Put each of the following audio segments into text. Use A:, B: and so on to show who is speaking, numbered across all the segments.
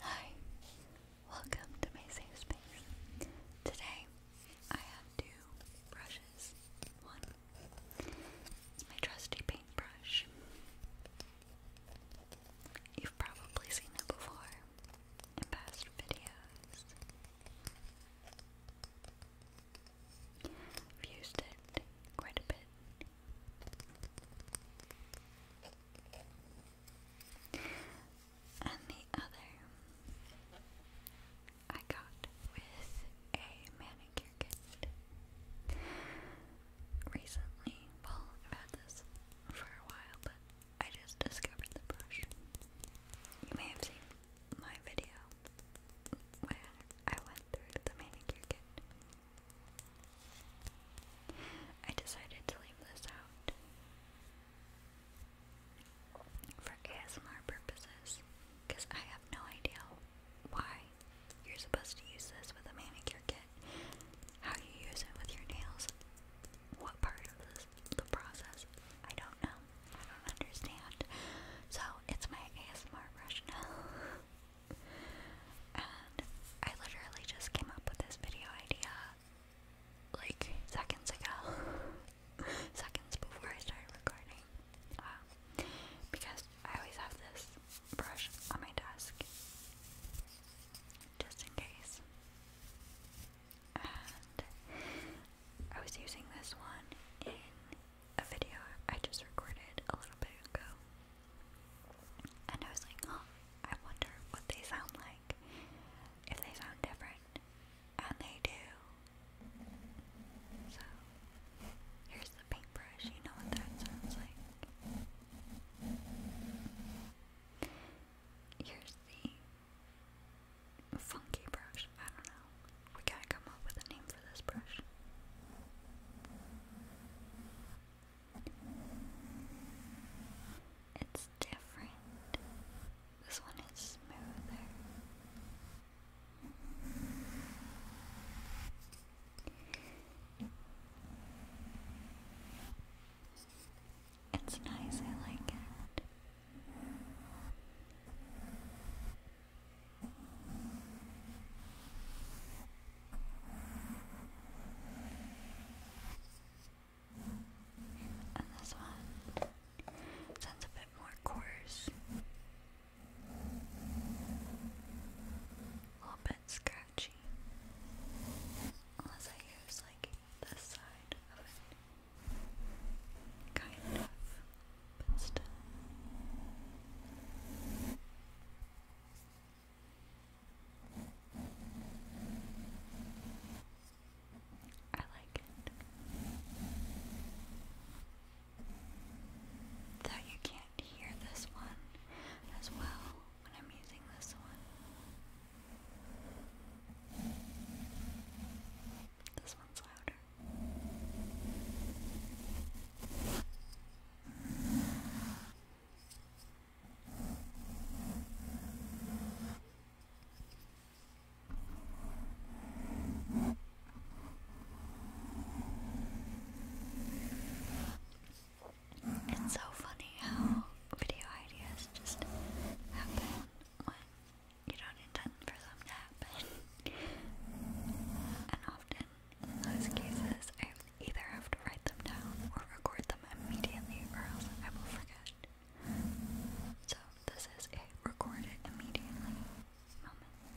A: Hi, welcome to my safe space. Today I have two brushes. One is my trusty paintbrush. You've probably seen it before in past videos. used it quite a bit and the other I got with a manicure recently. Well, I've had this for a while, but I just discovered the brush. You may have seen my video where I went through the manicure I decided to leave this out for ASMR purposes because I have no idea why you're supposed to use this with a manicure kit, how you use it with your nails, what part of this, the process, I don't know, I don't understand. So it's my ASMR brush I literally just came up with this video idea like seconds ago. seconds before I started recording. Um, because I always have this brush on my desk. Just in case. And I was using this one in a video I just recorded a little bit ago. And I was like, oh, I wonder what they sound like. If they sound different. And they do. So, here's the paintbrush. You know what that sounds like. Here's the funky brush. I don't know. We gotta come up with a name for this brush. It's different. This one is smoother. It's nice, I like it. And this one sounds a bit more coarse. A little bit scratchy. Unless I use like this side of it. Kind of. But still. I like it. Though you can't hear this one as well when I'm using this one. This one's louder. It's so funny how video ideas just happen when you don't intend for them to happen. And often in those cases, I either have to write them down or record them immediately, or else I will forget. So, this is a record immediately moment.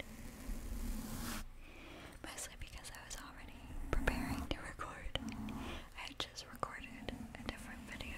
A: Mostly because I was already preparing to record. I had just recorded a different video.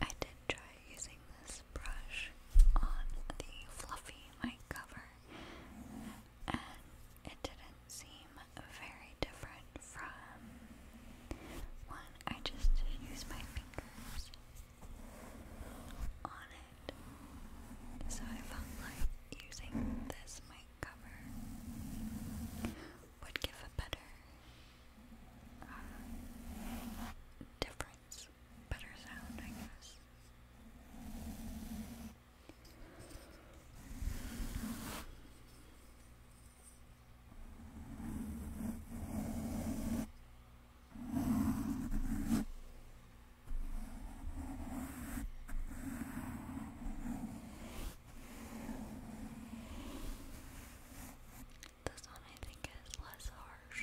A: I did try using this brush on the fluffy mic cover and it didn't seem very different from one I just use my fingers on it. So I felt like using this mic cover would give a better uh, difference, better sound, I guess. This one I think is less harsh.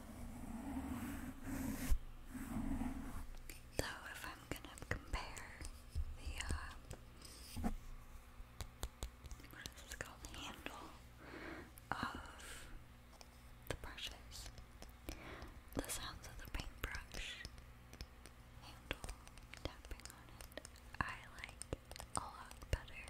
A: So if I'm gonna compare the uh, what is this called handle of the brushes, the sounds of the paintbrush handle tapping on it, I like a lot better.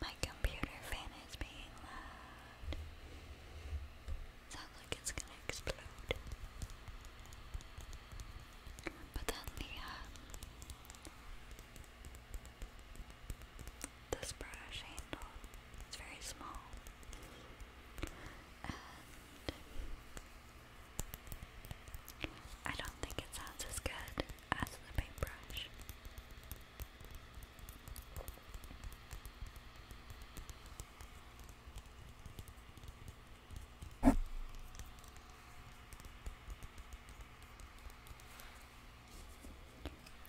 A: My computer fan is being loud. Sounds like it's gonna explode. But then the um, this brush handle is very small, I don't think it sounds as good as the paintbrush.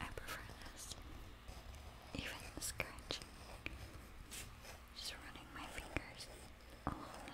A: I prefer this. Even the scratching. Just running my fingers along it.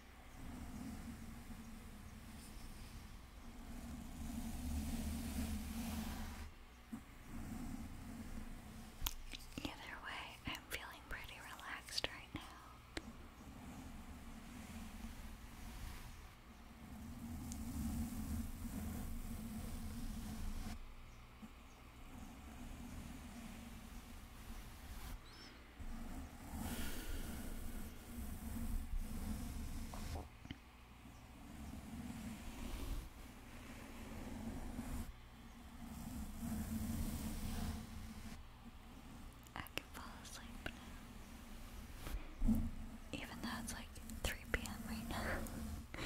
A: Either way, I'm feeling pretty relaxed right now. I can fall asleep Even though it's like 3 p.m. right now.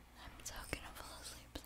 A: I'm so gonna fall asleep soon.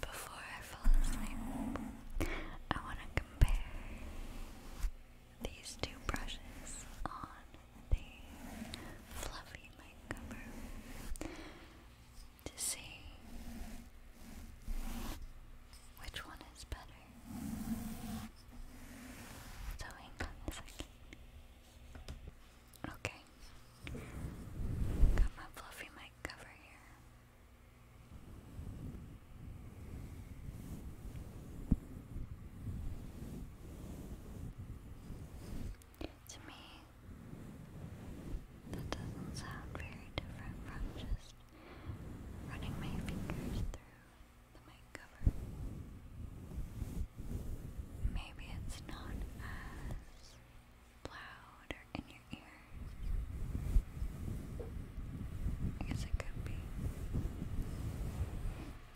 A: Before I fall asleep, I want to compare these two brushes on the fluffy mic to see which one is better? So hang on a second. Okay. Got my fluffy mic cover here. To me, that doesn't sound very different from just running my fingers through the mic cover. Maybe it's not as loud or in your ears. I guess it could be.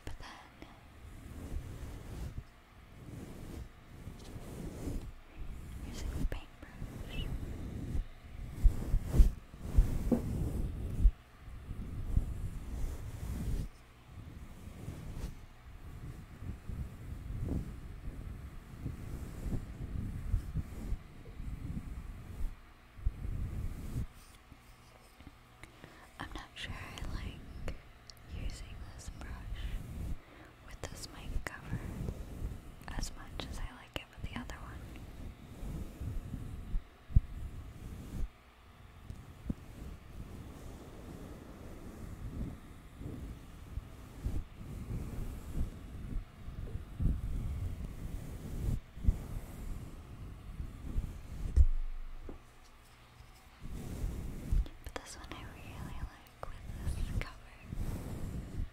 A: But then using paint brush. I'm not sure I like using this brush with this mic cover as much as I like forget the other one. But this one I really like with this cover.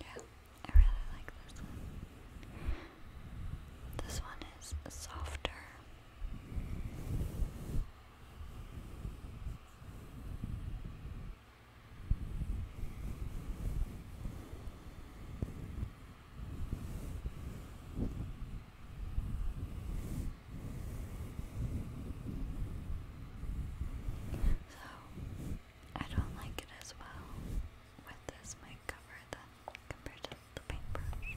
A: Yeah, I really like this one. This one is softer. So I don't like it as well with this mic cover than compared to the paintbrush.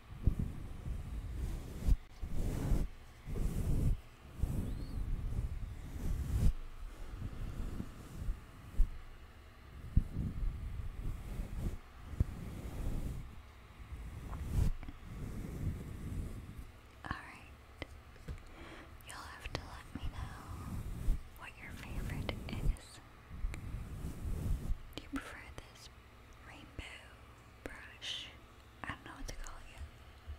A: All right. You'll have to let me know what your favorite is. Do you prefer this rainbow brush. I don't know what to call it yet.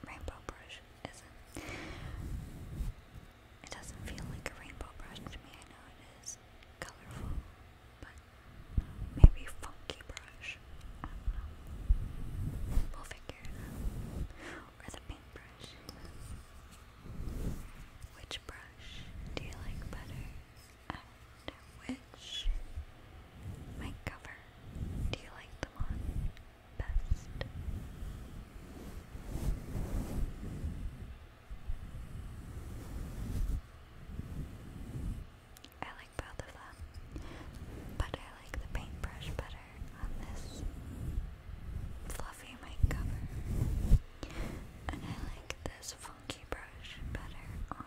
A: Rainbow brush isn't. It doesn't feel like a rainbow brush to me. I know it is colorful, but maybe funky brush. I don't know. we figure Or the paintbrush. Which brush do you like better? which mic cover do you like them on best? I like both of them, but I like the paintbrush better on this fluffy mic cover. And I like this funky brush better on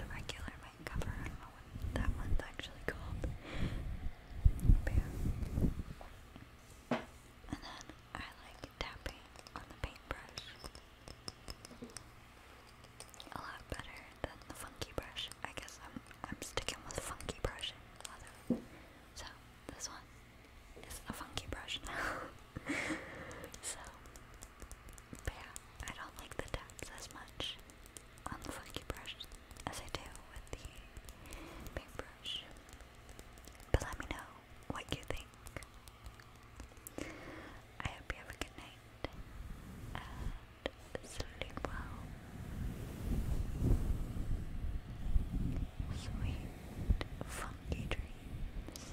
A: the regular mic cover. I that one's actually called. And then I like tapping on the paintbrush a lot better than the funky brush. I guess I'm I'm sticking with funky brushing. So this one is a funky brush so, but yeah, I don't like the taps as much on the funky brush as I do with the paintbrush. But let me know what you think. I hope you have a good night and sleep well. Sweet funky dreams.